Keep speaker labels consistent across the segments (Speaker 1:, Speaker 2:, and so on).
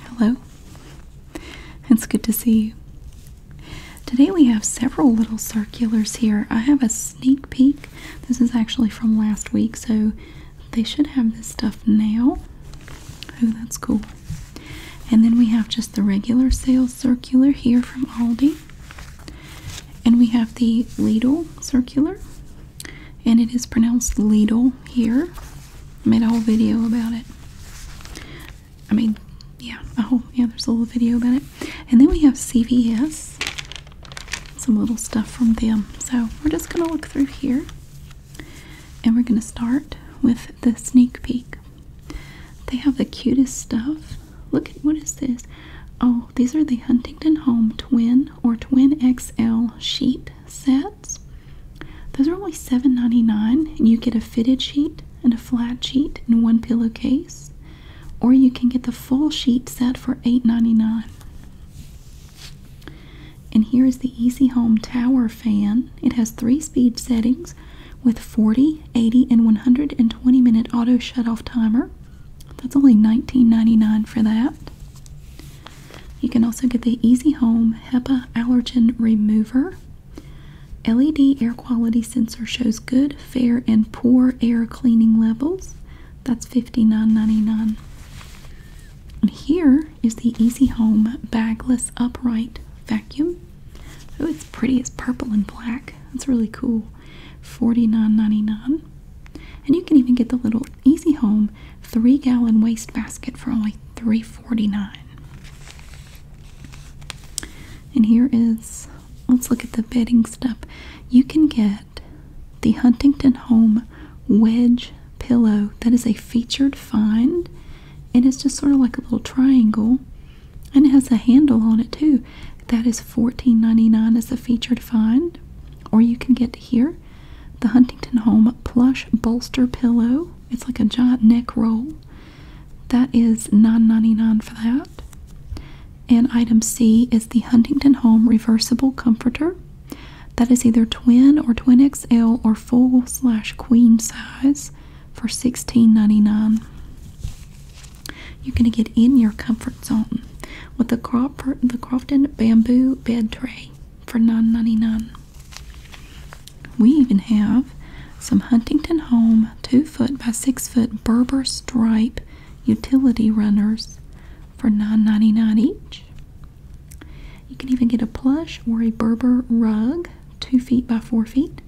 Speaker 1: Hello. It's good to see you. Today we have several little circulars here. I have a sneak peek. This is actually from last week, so they should have this stuff now. Oh, that's cool. And then we have just the regular sales circular here from Aldi. And we have the Lidl circular and it is pronounced Lidl here. made a whole video about it. I mean, yeah, a whole yeah. There's a little video about it, and then we have CVS. Some little stuff from them. So we're just gonna look through here, and we're gonna start with the sneak peek. They have the cutest stuff. Look at what is this? Oh, these are the Huntington Home Twin or twin XL sheet sets. Those are only $7.99 and you get a fitted sheet and a flat sheet in one pillowcase. Or you can get the full sheet set for $8.99. And here is the Easy Home Tower fan. It has three speed settings with 40, 80, and 120 minute auto shut off timer. That's only $19.99 for that. You can also get the Easy Home HEPA Allergen Remover. LED air quality sensor shows good, fair, and poor air cleaning levels. That's $59.99. And here is the Easy Home Bagless Upright Vacuum. Oh, it's pretty. It's purple and black. That's really cool. $49.99. And you can even get the little Easy Home three gallon waste basket for only $3.49. And here is, let's look at the bedding stuff. You can get the Huntington Home Wedge Pillow. That is a featured find. It is just sort of like a little triangle. And it has a handle on it too. That is $14.99 as a featured find. Or you can get here the Huntington Home plush bolster pillow. It's like a giant neck roll. That is $9.99 for that. And item C is the Huntington Home reversible comforter. That is either twin or twin XL or full slash queen size for $16.99. You're going to get in your comfort zone with the, Crawford, the Crofton Bamboo Bed Tray for none ninety nine. We even have some Huntington Home two foot by six foot Berber stripe utility runners for nine ninety nine each. You can even get a plush or a Berber rug two feet by four feet,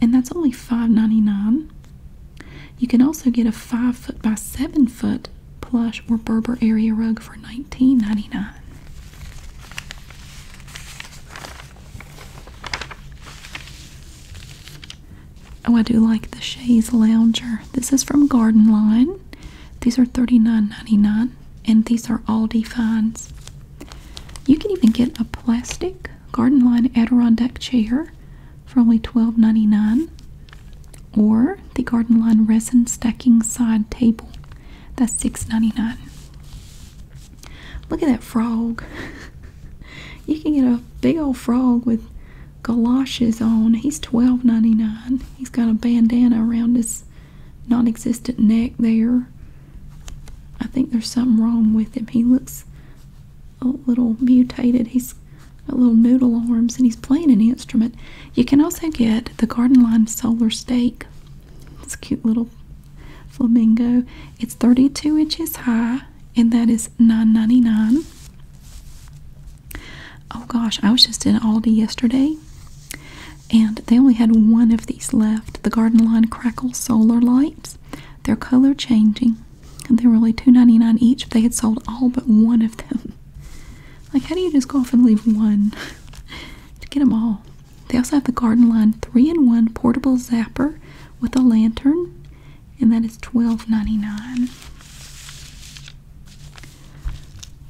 Speaker 1: and that's only five ninety nine. You can also get a five foot by seven foot plush or Berber area rug for $19.99. Oh, I do like the Shays Lounger. This is from Garden Line. These are $39.99 and these are Aldi finds. You can even get a plastic Garden Line Adirondack chair for only $12.99 or the Garden Line Resin Stacking Side Table. That's $6.99. Look at that frog. you can get a big old frog with galoshes on. He's $12.99. He's got a bandana around his non existent neck there. I think there's something wrong with him. He looks a little mutated. He's got little noodle arms and he's playing an instrument. You can also get the Garden Line Solar Stake. It's a cute little flamingo. It's 32 inches high and that is $9.99. Oh gosh, I was just in Aldi yesterday and they only had one of these left. The Garden Line Crackle Solar Lights. They're color changing. And they were only $2.99 each. They had sold all but one of them. Like, how do you just go off and leave one to get them all? They also have the Garden Line 3 in 1 portable zapper with a lantern, and that is $12.99.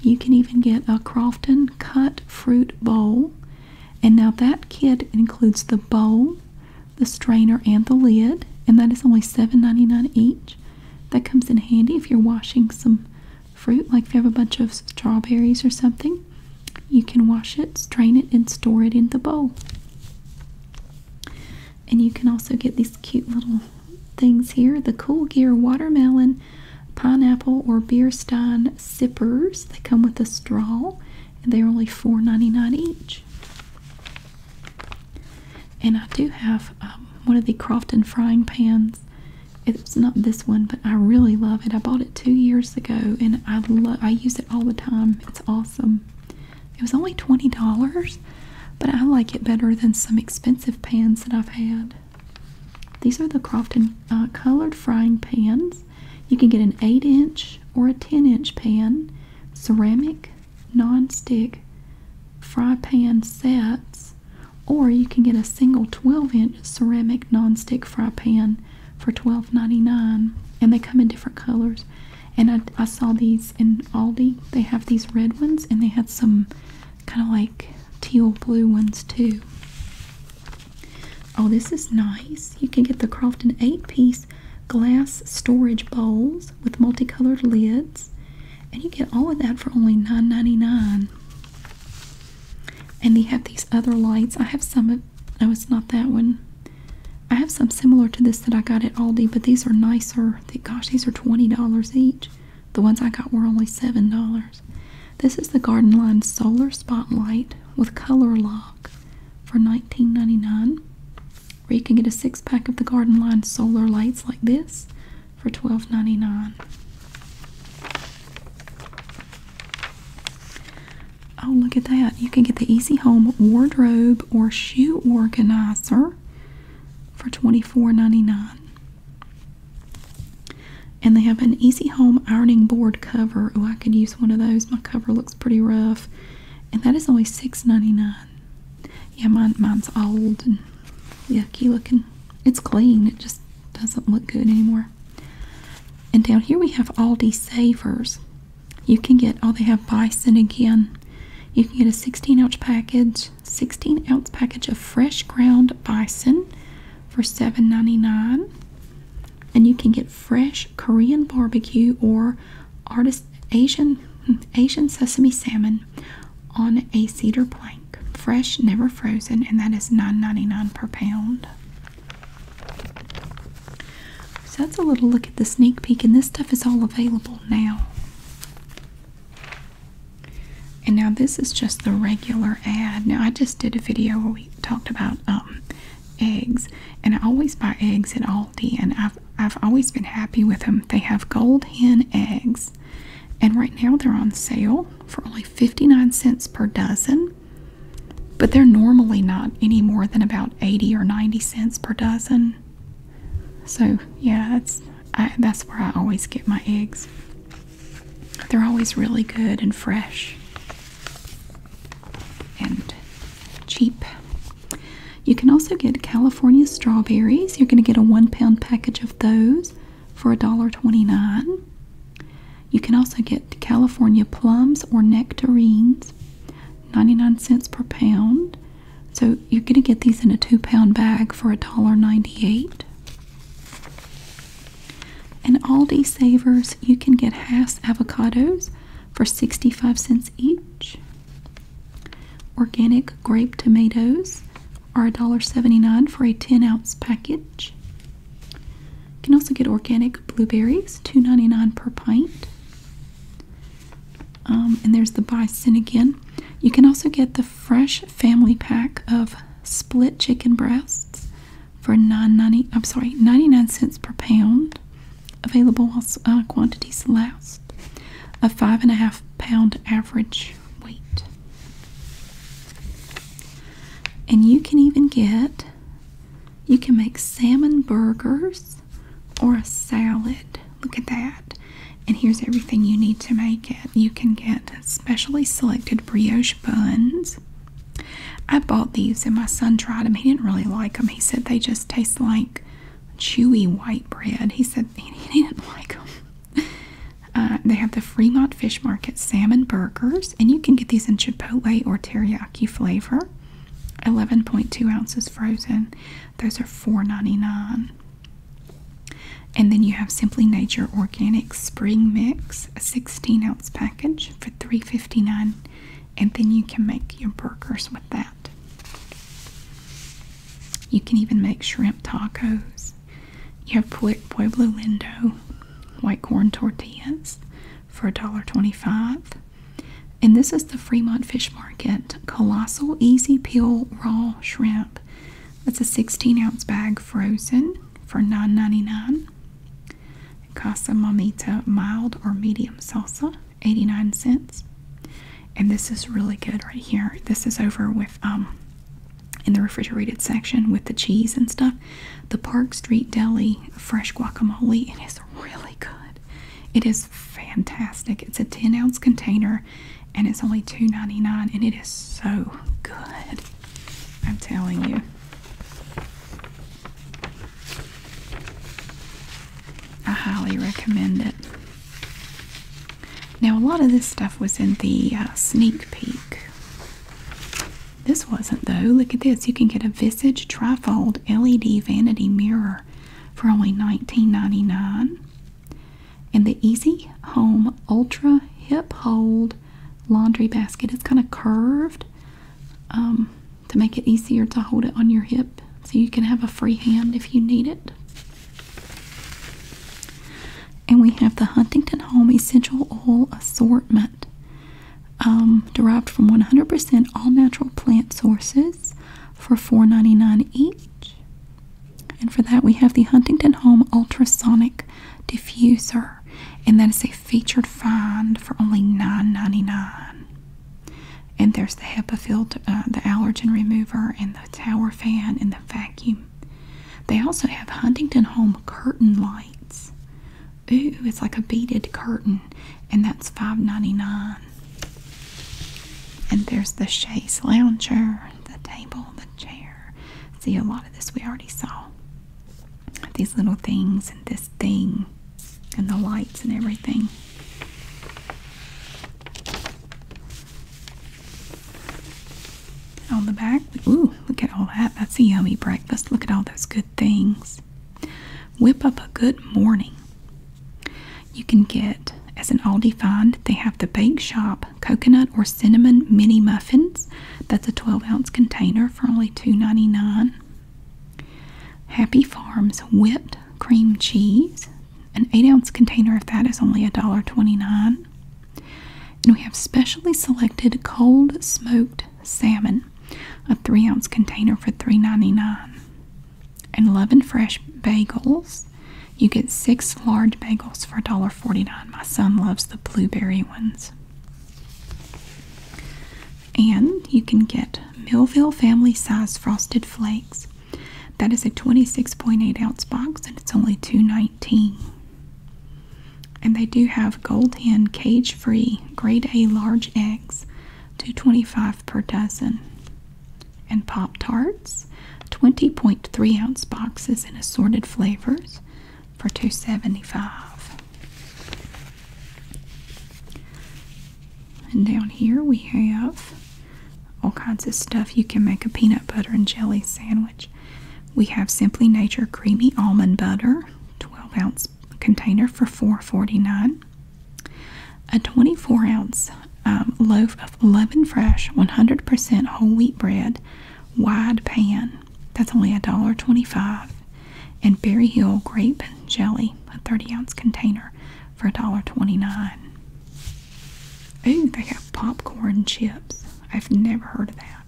Speaker 1: You can even get a Crofton cut fruit bowl, and now that kit includes the bowl, the strainer, and the lid, and that is only $7.99 each. That comes in handy if you're washing some fruit, like if you have a bunch of strawberries or something, you can wash it, strain it, and store it in the bowl. And you can also get these cute little things here the Cool Gear Watermelon, Pineapple, or Beer Stein Sippers. They come with a straw, and they're only $4.99 each. And I do have um, one of the Crofton frying pans it's not this one, but I really love it. I bought it two years ago, and I love. I use it all the time. It's awesome. It was only twenty dollars, but I like it better than some expensive pans that I've had. These are the Crofton uh, colored frying pans. You can get an eight-inch or a ten-inch pan, ceramic, non-stick, fry pan sets or you can get a single 12-inch ceramic nonstick fry pan for $12.99. And they come in different colors. And I, saw these in Aldi. They have these red ones and they had some kind of like teal blue ones too. Oh, this is nice. You can get the Crofton 8-piece glass storage bowls with multicolored lids. And you get all of that for only $9.99. And they have these other lights. I have some of no, it's not that one. I have some similar to this that I got at Aldi, but these are nicer. Gosh, these are $20 each. The ones I got were only $7. This is the Garden Line Solar Spotlight with color lock for $19.99. Or you can get a six pack of the Garden Line Solar Lights like this for $12.99. Oh, look at that. You can get the Easy Home Wardrobe or Shoe Organizer for $24.99. And they have an Easy Home Ironing Board cover. Oh, I could use one of those. My cover looks pretty rough. And that is only $6.99. Yeah, mine's old and yucky looking. It's clean. It just doesn't look good anymore. And down here we have Aldi Savers. You can get, oh, they have bison again. You can get a 16 ounce package, 16 ounce package of fresh ground bison for seven ninety-nine. And you can get fresh Korean barbecue or artist Asian hmm, Asian sesame salmon on a cedar plank, fresh, never frozen, and that is $9.99 per pound. So that's a little look at the sneak peek, and this stuff is all available now. And now this is just the regular ad. Now I just did a video where we talked about um, eggs, and I always buy eggs at Aldi, and I've I've always been happy with them. They have gold hen eggs and right now they're on sale for only 59 cents per dozen but they're normally not any more than about 80 or 90 cents per dozen so yeah that's that's where i always get my eggs they're always really good and fresh and cheap you can also get california strawberries you're going to get a one pound package of those for $1.29. You can also get California plums or nectarines, 99 cents per pound. So you're going to get these in a two pound bag for a dollar ninety-eight. And Aldi Savers, you can get Hass avocados for 65 cents each. Organic grape tomatoes are $1.79 for a 10 ounce package. You can also get organic blueberries, two ninety nine per pint. Um, and there's the bison again. You can also get the fresh family pack of split chicken breasts for 9.90 I'm sorry 99 cents per pound available while uh, quantities last a five and a half pound average Wait. And you can even get, you can make salmon burgers or a salad. Look at that. And here's everything you need to make it. You can get specially selected brioche buns. I bought these and my son tried them. He didn't really like them. He said they just taste like chewy white bread. He said he didn't like them. Uh, they have the Fremont Fish Market salmon burgers, and you can get these in chipotle or teriyaki flavor. 11.2 ounces frozen. Those are $4.99. And then you have Simply Nature Organic Spring Mix, a 16 ounce package for $3.59. And then you can make your burgers with that. You can even make shrimp tacos. You have Pueblo Lindo white corn tortillas for $1.25. And this is the Fremont Fish Market Colossal Easy Peel Raw Shrimp. That's a 16 ounce bag frozen for $9.99. Casa Mamita Mild or Medium Salsa, 89 cents. And this is really good right here. This is over with um, in the refrigerated section with the cheese and stuff. The Park Street Deli fresh guacamole, and it's really good. It is fantastic. It's a 10 ounce container and it's only $2.99 and it is so good. I'm telling you. I highly recommend it. Now, a lot of this stuff was in the uh, sneak peek this wasn't though. Look at this. You can get a Visage Trifold LED Vanity Mirror for only nineteen ninety nine. And the Easy Home Ultra Hip Hold Laundry Basket. It's kind of curved um, to make it easier to hold it on your hip so you can have a free hand if you need it. And we have the Huntington Home Essential Oil Assortment, um, derived from 100% all natural plant sources for $4.99 each. And for that, we have the Huntington Home Ultrasonic Diffuser, and that is a featured find for only $9.99. And there's the HEPA filter, uh, the allergen remover, and the tower fan, and the vacuum they also have Huntington Home curtain lights. Ooh, it's like a beaded curtain, and that's $5.99. And there's the chaise lounger, the table, the chair. See, a lot of this we already saw. These little things and this thing and the lights and everything on the back. Ooh, look at all that. That's a yummy breakfast. Look at all those good things. Whip up a good morning. You can get, as an Aldi find, they have the Bake Shop coconut or cinnamon mini muffins. That's a 12 ounce container for only two ninety nine. Happy Farms whipped cream cheese. An 8 ounce container of that is only $1.29. And we have specially selected cold smoked salmon, a three ounce container for $3.99. And Love Fresh bagels. You get six large bagels for $1.49. My son loves the blueberry ones. And you can get Millville family size frosted flakes. That is a 26.8 ounce box and it's only $2.19. And they do have gold hen cage free grade A large eggs, two twenty five per dozen. And Pop Tarts, 20.3 ounce boxes in assorted flavors for two seventy five. And down here we have all kinds of stuff. You can make a peanut butter and jelly sandwich. We have Simply Nature Creamy Almond Butter, 12 ounce container for $4.49. A 24 ounce um, loaf of Leaven Fresh 100% whole wheat bread, wide pan. That's only $1.25. And Berry Hill Grape Jelly, a 30 ounce container for $1.29. Ooh, they have popcorn chips. I've never heard of that.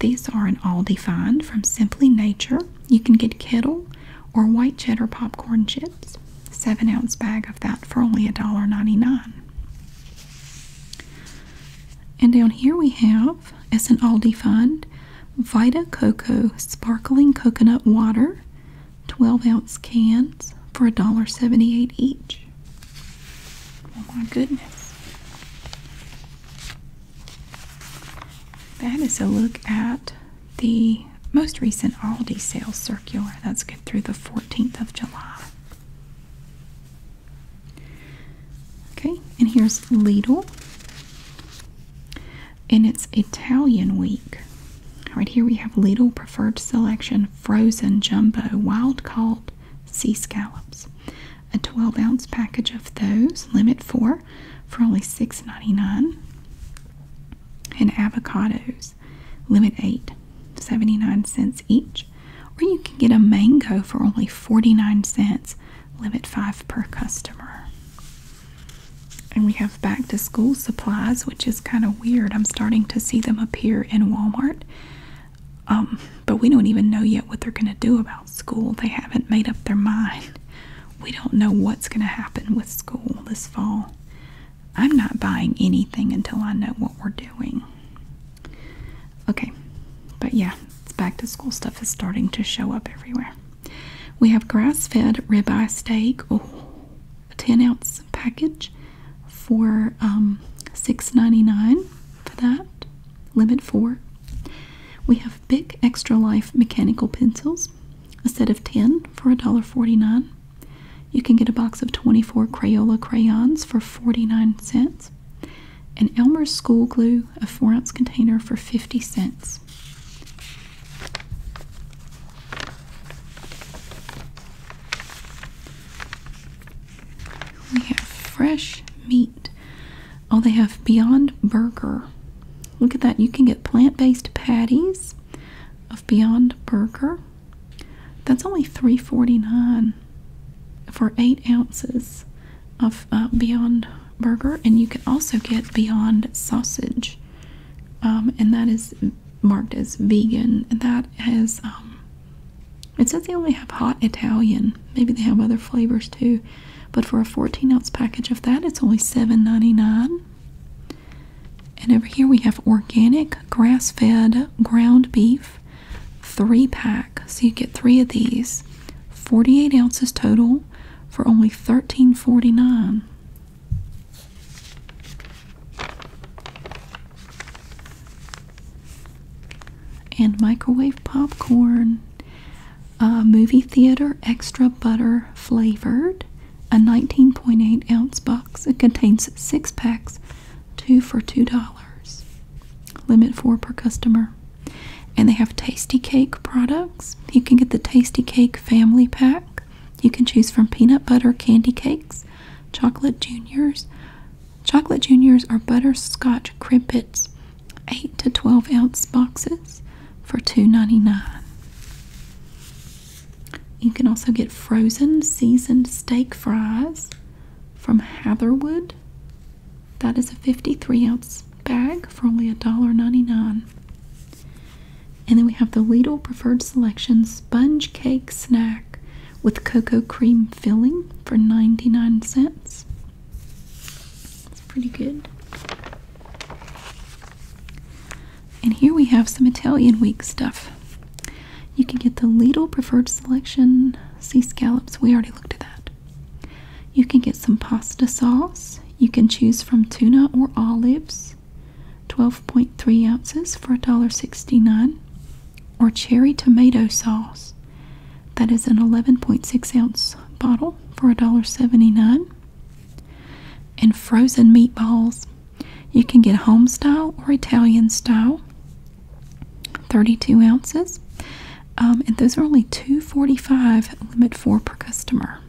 Speaker 1: These are in Aldi Find from Simply Nature. You can get Kettle or white cheddar popcorn chips. Seven ounce bag of that for only $1.99. And down here we have, as an Aldi Find, Vita Coco Sparkling Coconut Water, 12 ounce cans for $1.78 each. Oh my goodness. That is a look at the most recent Aldi sales circular. That's good through the 14th of July. Okay, and here's Lidl. And it's Italian week. Right here we have Lidl Preferred Selection Frozen Jumbo Wild Caught sea scallops. A 12 ounce package of those, limit four, for only 6.99. And avocados, limit eight, 79 cents each. Or you can get a mango for only 49 cents, limit five per customer. And we have back to school supplies, which is kind of weird. I'm starting to see them appear in Walmart. Um, but we don't even know yet what they're going to do about school. They haven't made up their mind. We don't know what's going to happen with school this fall. I'm not buying anything until I know what we're doing. Okay, but yeah, it's back to school stuff is starting to show up everywhere. We have grass fed ribeye steak, oh, a 10 ounce package for um, $6.99 for that, limit four. We have big Extra Life mechanical pencils, a set of 10 for $1.49. You can get a box of 24 Crayola crayons for 49 cents, and Elmer's School Glue, a 4 ounce container for 50 cents. We have fresh meat. Oh, they have Beyond Burger. Look at that. You can get plant based patties of Beyond Burger. That's only $3.49 for 8 ounces of uh, Beyond Burger. And you can also get Beyond Sausage. Um, and that is marked as vegan. And that is. It says they only have hot Italian. Maybe they have other flavors too. But for a 14 ounce package of that, it's only $7.99. And over here we have organic grass fed ground beef, three pack. So you get three of these, 48 ounces total for only $13.49 and microwave popcorn, movie theater extra butter flavored, a 19.8 ounce box. It contains six packs, two for two dollars. Limit four per customer. And they have tasty cake products. You can get the tasty cake family pack. You can choose from peanut butter candy cakes, chocolate juniors, Chocolate Juniors are butterscotch crimpets, 8 to 12 ounce boxes for $2.99. You can also get frozen seasoned steak fries from Hatherwood. That is a 53 ounce bag for only $1.99. And then we have the Lidl Preferred Selection Sponge Cake Snack with cocoa cream filling for 99 cents. It's, pretty good. And here we have some Italian week stuff. You can get the Lidl Preferred Selection sea scallops. We already looked at that. You can get some pasta sauce. You can choose from tuna or olives, 12.3 ounces for $1.69, or cherry tomato sauce, that is an 11.6 ounce bottle for $1.79. And frozen meatballs. You can get home style or Italian style. 32 ounces. Um, and those are only $2.45 limit four per customer.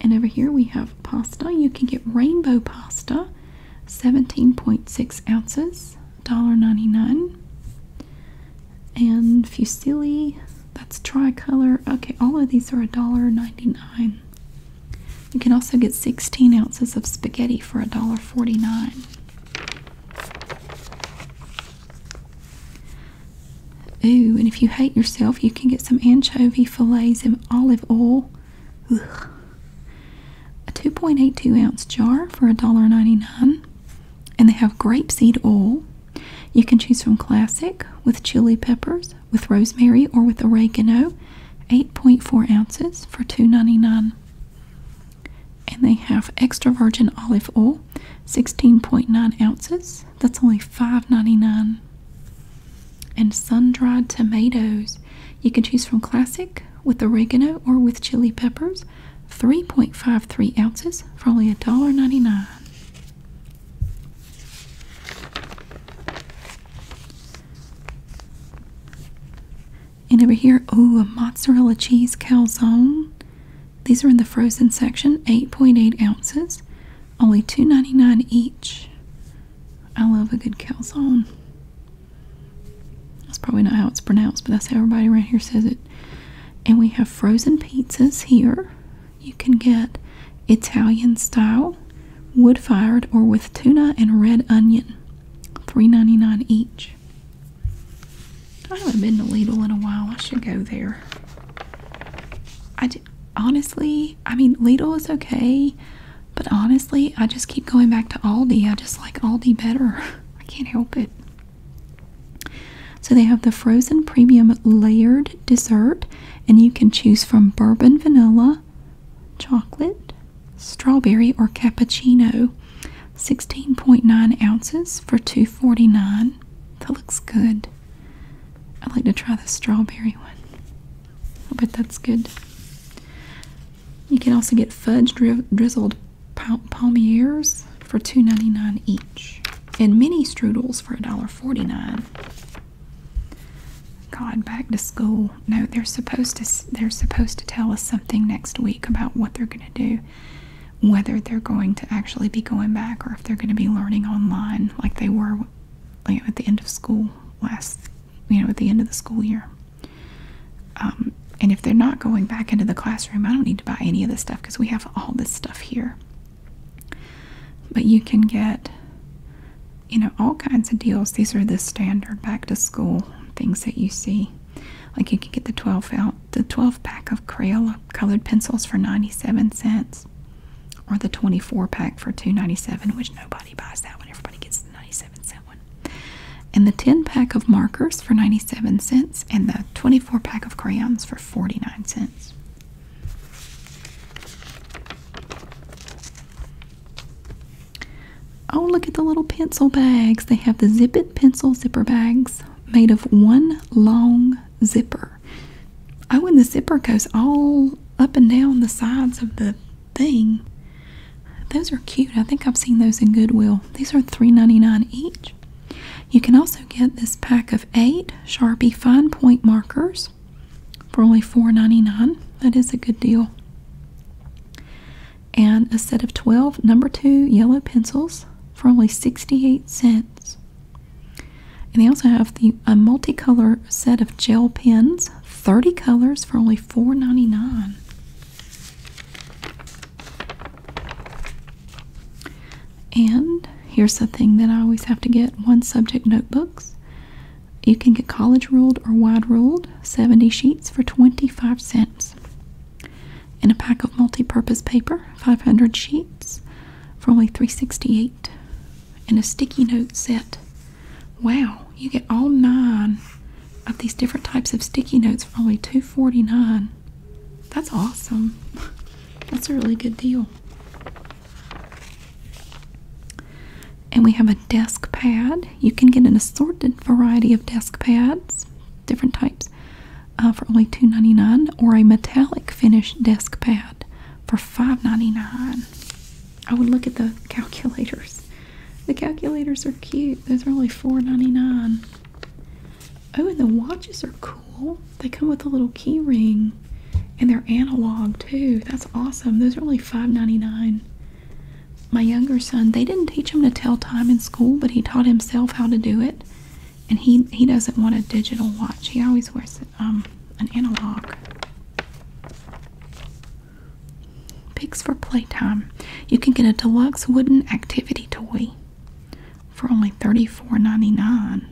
Speaker 1: And over here we have pasta. You can get rainbow pasta, 17.6 ounces $1.99. And Fusilli, that's tricolor. Okay, all of these are $1.99. You can also get 16 ounces of spaghetti for $1.49. Ooh, and if you hate yourself, you can get some anchovy fillets in olive oil a 2.82 ounce jar for $1.99. And they have grapeseed oil. You can choose from classic with chili peppers, with rosemary, or with oregano. 8.4 ounces for $2.99. And they have extra virgin olive oil, 16.9 ounces. That's only $5.99. And sun dried tomatoes. You can choose from classic with oregano or with chili peppers 3.53 ounces for only $1.99. And over here, oh, a mozzarella cheese calzone. These are in the frozen section, 8.8 ounces, only $2.99 each. I love a good calzone. That's probably not how it's pronounced, but that's how everybody around here says it. And we have frozen pizzas here. You can get Italian style, wood fired, or with tuna and red onion. $3.99 each. I haven't been to Lidl in a while. I should go there. I honestly, I mean, Lidl is okay, but honestly, I just keep going back to Aldi. I just like Aldi better. I can't help it. So they have the frozen premium layered dessert, and you can choose from bourbon vanilla, chocolate, strawberry, or cappuccino. 16.9 ounces for 249. That looks good. I'd like to try the strawberry one. I bet that's good. You can also get fudge drizzled palmiers for $2.99 each, and mini strudels for $1.49. God, back to school. No, they're supposed to. They're supposed to tell us something next week about what they're going to do, whether they're going to actually be going back or if they're going to be learning online like they were at the end of school last, you know, at the end of the school year. Um, and if they're not going back into the classroom, I don't need to buy any of this stuff because we have all this stuff here. But you can get, you know, all kinds of deals. These are the standard back to school things that you see. Like you can get the 12 out the 12 pack of Crayola colored pencils for 97 cents or the 24 pack for 297 which nobody buys that when everybody gets 97 cent and the 10 pack of markers for 97 cents and the 24 pack of crayons for 49 cents. Oh, look at the little pencil bags. They have the Zip It pencil zipper bags made of one long zipper. Oh, and the zipper goes all up and down the sides of the thing. Those are cute. I think I've seen those in Goodwill. These are $3.99 each. You can also get this pack of eight Sharpie fine point markers for only $4.99. That is a good deal. And a set of 12 number two yellow pencils for only 68 cents. And they also have the a multicolor set of gel pens, 30 colors for only $4.99. And here's the thing that I always have to get one subject notebooks. You can get college ruled or wide ruled, 70 sheets for 25 cents. And a pack of multi-purpose paper, 500 sheets for only 368. And a sticky note set. Wow, you get all nine of these different types of sticky notes for only $2.49. That's awesome. That's a really good deal. And we have a desk pad. You can get an assorted variety of desk pads, different types, uh, for only $2.99, or a metallic finish desk pad for $5.99. I would look at the calculators. The calculators are cute. Those are only $4.99. Oh, and the watches are cool. They come with a little key ring and they're analog too. That's awesome. Those are only $5.99. My younger son, they didn't teach him to tell time in school, but he taught himself how to do it. And he, he doesn't want a digital watch. He always wears um, an analog. Picks for playtime. You can get a deluxe wooden activity toy for only $34.99.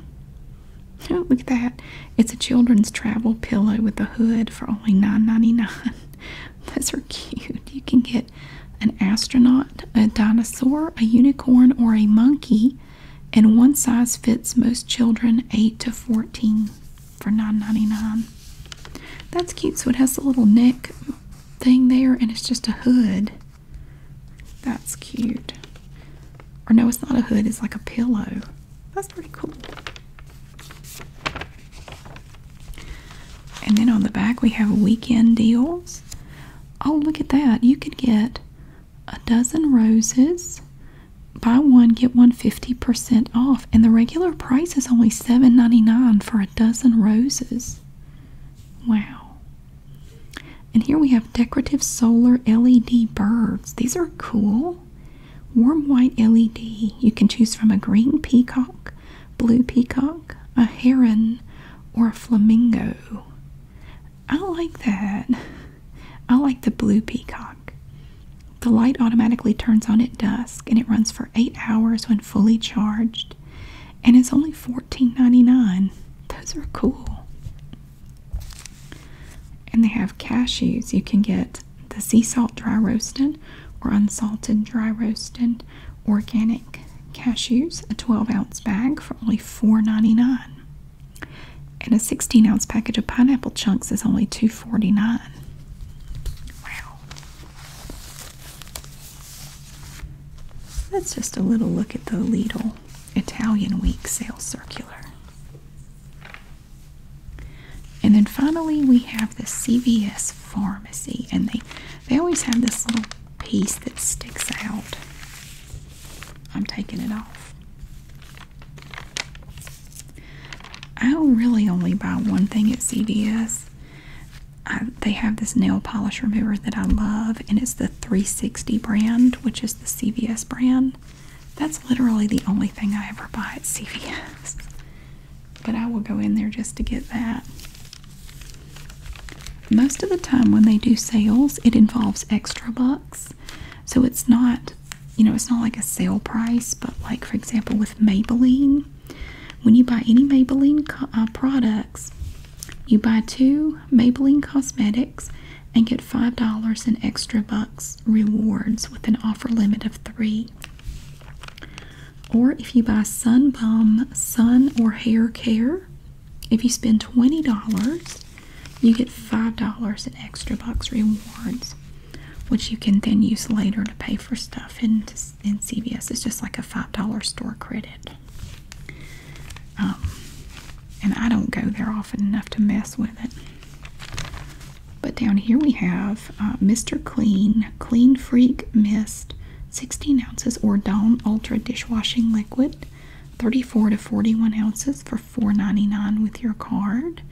Speaker 1: look at that. It's a children's travel pillow with a hood for only $9.99. Those are cute. You can get an astronaut, a dinosaur, a unicorn, or a monkey, and one size fits most children 8 to 14 for $9.99. That's cute. So it has a little neck thing there and it's just a hood. That's cute. Or no, it's not a hood, it's like a pillow. That's pretty cool. And then on the back we have weekend deals. Oh, look at that. You could get a dozen roses. Buy one, get one fifty percent off. And the regular price is only seven ninety nine for a dozen roses. Wow. And here we have decorative solar LED birds. These are cool. Warm white LED. You can choose from a green peacock, blue peacock, a heron, or a flamingo. I like that. I like the blue peacock. The light automatically turns on at dusk and it runs for 8 hours when fully charged. And it's only $14.99. Those are cool. And they have cashews. You can get the sea salt dry roasted or unsalted dry roasted organic cashews, a 12 ounce bag for only $4.99. And a 16 ounce package of pineapple chunks is only $2.49. Wow. That's just a little look at the Lidl Italian Week sales circular. And then finally we have the CVS pharmacy and they they always have this little piece that sticks out. I'm taking it off. I really only buy one thing at CVS they have this nail polish remover that I love, and it's the 360 brand, which is the CVS brand. That's literally the only thing I ever buy at CVS. But I will go in there just to get that. Most of the time, when they do sales, it involves extra bucks. So it's not, you know, it's not like a sale price, but like, for example, with Maybelline, when you buy any Maybelline uh, products, you buy two Maybelline cosmetics and get $5 in extra bucks rewards with an offer limit of three. Or if you buy Sun Balm, Sun, or Hair Care, if you spend $20, you get $5 in extra bucks rewards, which you can then use later to pay for stuff in, in CVS. It's just like a $5 store credit. Um, and I don't go there often enough to mess with it. But down here we have uh, Mr. Clean Clean Freak Mist, 16 ounces, or Dawn Ultra Dishwashing Liquid, 34 to 41 ounces for $4.99 with your card.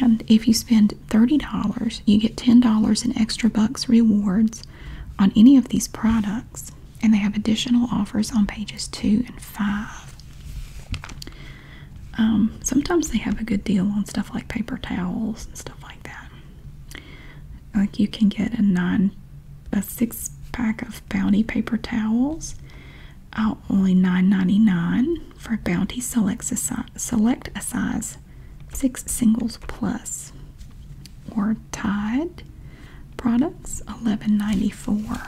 Speaker 1: And if you spend $30, you get $10 in extra bucks rewards on any of these products, and they have additional offers on pages two and five. Um, sometimes they have a good deal on stuff like paper towels and stuff like that. Like you can get a nine, a six pack of Bounty paper towels, only nine ninety nine for Bounty a size, select a size six singles plus or Tide products eleven ninety four.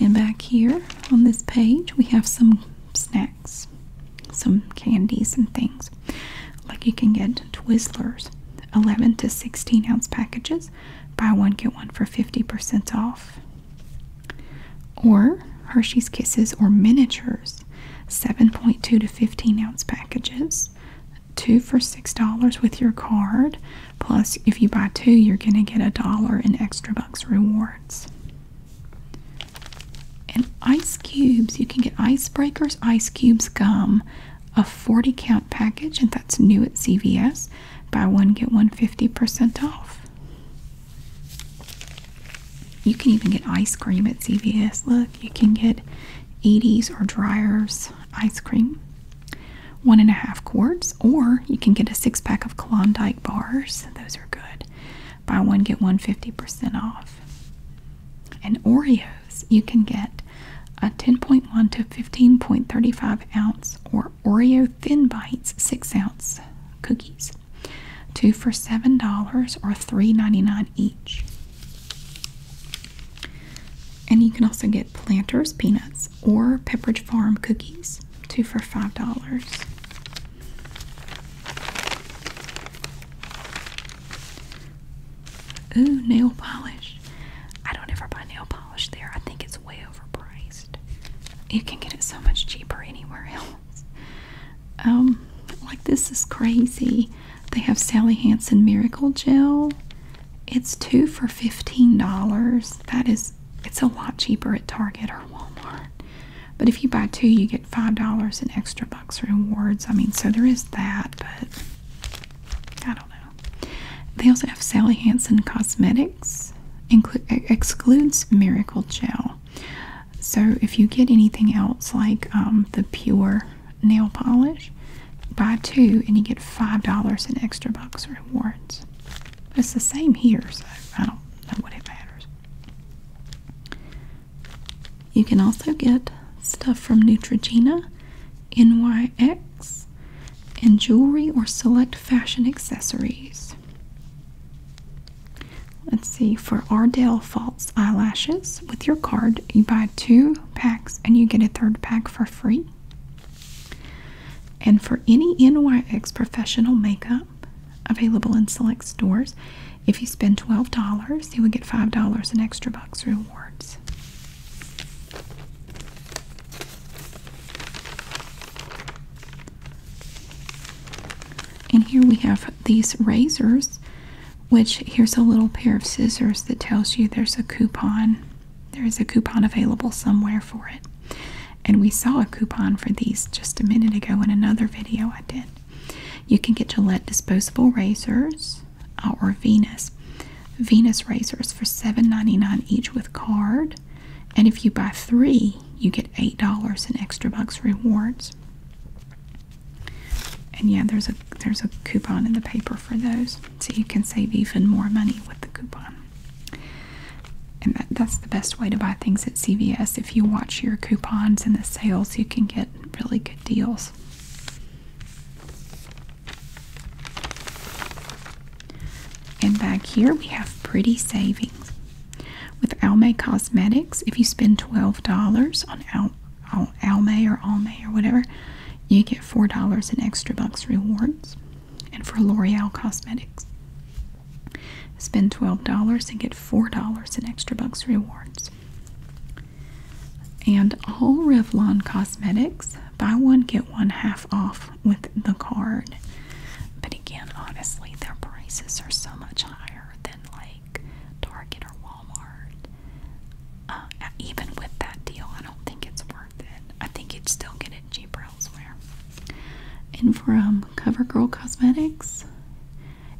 Speaker 1: And back here on this page we have some snacks, some candies and things. Like you can get Twizzlers, eleven to sixteen ounce packages. Buy one get one for fifty percent off. Or Hershey's Kisses or miniatures, 7.2 to 15 ounce packages, two for $6 with your card. Plus, if you buy two, you're going to get a dollar in extra bucks rewards. And ice cubes, you can get Icebreakers Ice Cubes Gum, a 40 count package, and that's new at CVS. Buy one, get one, fifty percent off. You can even get ice cream at CVS. Look, you can get Edie's or Dryer's ice cream, one and a half quarts, or you can get a six pack of Klondike bars. Those are good. Buy one, get one, fifty percent off. And Oreos, you can get a 10.1 to 15.35 ounce or Oreo Thin Bites 6 ounce cookies two for seven dollars or three ninety-nine each. And you can also get Planters peanuts or Pepperidge Farm cookies, two for five dollars. Ooh, nail polish. I don't ever buy nail polish there. I think it's way overpriced. You can get it so much cheaper anywhere else. Um, like this is crazy. They have Sally Hansen Miracle Gel. It's two for $15. That is, it's a lot cheaper at Target or Walmart. But if you buy two, you get $5 in extra bucks rewards. I mean, so there is that, but I don't know. They also have Sally Hansen Cosmetics, include, excludes Miracle Gel. So, if you get anything else like um, the pure nail polish, buy two and you get five dollars in extra bucks rewards. It's the same here, so I don't know what it matters. You can also get stuff from Neutrogena, NYX, and jewelry or select fashion accessories. Let's see, for Ardell False Eyelashes, with your card, you buy two packs and you get a third pack for free. And for any NYX professional makeup available in select stores, if you spend $12, you will get $5 in extra bucks rewards. And here we have these razors, which here's a little pair of scissors that tells you there's a coupon. There is a coupon available somewhere for it. And we saw a coupon for these just a minute ago in another video I did. You can get Gillette disposable razors uh, or Venus. Venus razors for seven ninety nine each with card. And if you buy three, you get $8 in extra bucks rewards. And yeah, there's a there's a coupon in the paper for those. So you can save even more money with the coupon. And that, that's the best way to buy things at CVS. If you watch your coupons and the sales, you can get really good deals. And back here we have pretty savings. With Almay Cosmetics, if you spend $12 on Al Almay or Almay or whatever, you get $4 in extra bucks rewards. And for L'Oreal Cosmetics, spend $12 and get $4 in extra bucks rewards. And all Revlon Cosmetics, buy one, get one half off with the card. But again, honestly, their prices are so much higher than like Target or Walmart. Uh, even with that deal, I don't think it's worth it. I think you'd still get it cheaper elsewhere. And from CoverGirl Cosmetics,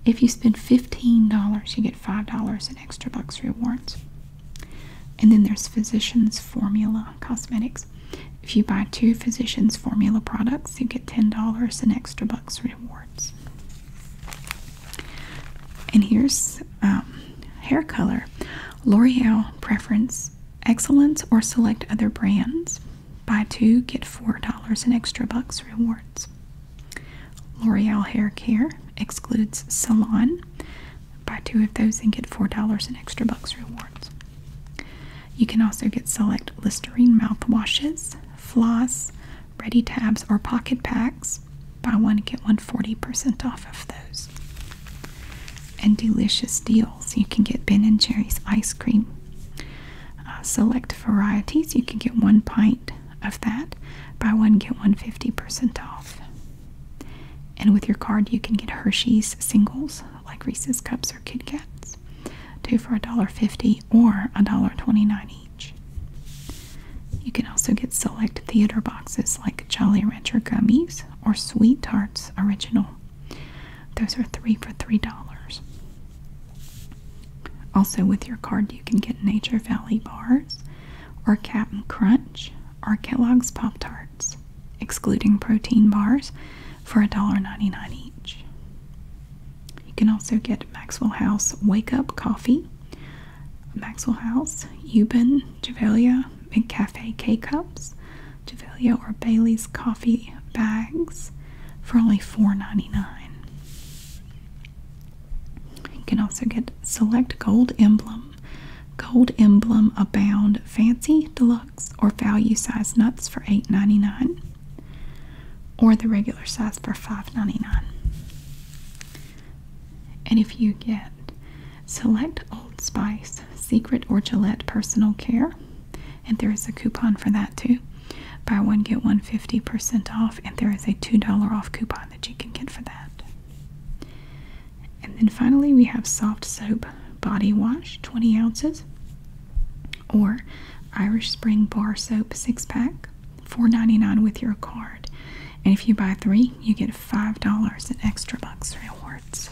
Speaker 1: if you spend $15, you get $5 in extra bucks rewards. And then there's Physicians Formula Cosmetics. If you buy two Physicians Formula products, you get $10 in extra bucks rewards. And here's um, hair color L'Oreal preference excellence or select other brands. Buy two, get four dollars in extra bucks rewards. L'Oreal hair care excludes salon. Buy two of those and get four dollars in extra bucks rewards. You can also get select Listerine mouthwashes floss, ready tabs, or pocket packs. Buy one, get one forty percent off of those. And delicious deals. You can get Ben & Jerry's ice cream. Uh, select varieties. You can get one pint of that. Buy one, get one fifty percent off. And with your card, you can get Hershey's singles, like Reese's Cups or Kit Kats. Two for $1.50 or $1.29 each. You can also get select theater boxes like Jolly Rancher Gummies or Sweet Tarts Original. Those are three for $3. Also, with your card, you can get Nature Valley Bars or Cap'n Crunch or Kellogg's Pop Tarts, excluding protein bars, for $1.99 each. You can also get Maxwell House Wake Up Coffee, Maxwell House, Euban, Javelia, and Cafe K Cups, Javelia or Bailey's Coffee Bags for only $4.99. You can also get Select Gold Emblem. Gold Emblem Abound Fancy Deluxe or Value Size Nuts for $8.99 or the regular size for $5.99. And if you get select Old Spice, Secret, or Gillette Personal Care, and there is a coupon for that too. Buy one, get one fifty percent off, and there is a $2 off coupon that you can get for that. And then finally, we have soft soap body wash, 20 ounces. Or Irish Spring Bar Soap six pack, $4.99 with your card. And if you buy three, you get $5 in extra bucks rewards.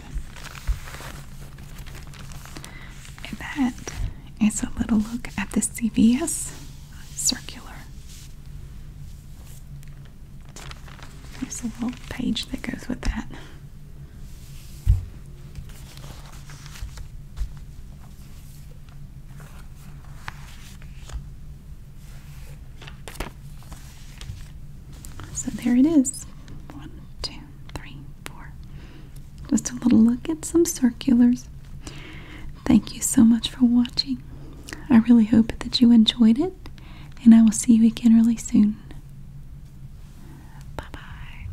Speaker 1: And that is a little look at the CVS circular. There's a little page that goes with that. So there it is. One, two, three, four. Just a little look at some circulars. Thank you so much for watching. I really hope that you enjoyed it, and I will see you again really soon. Bye bye.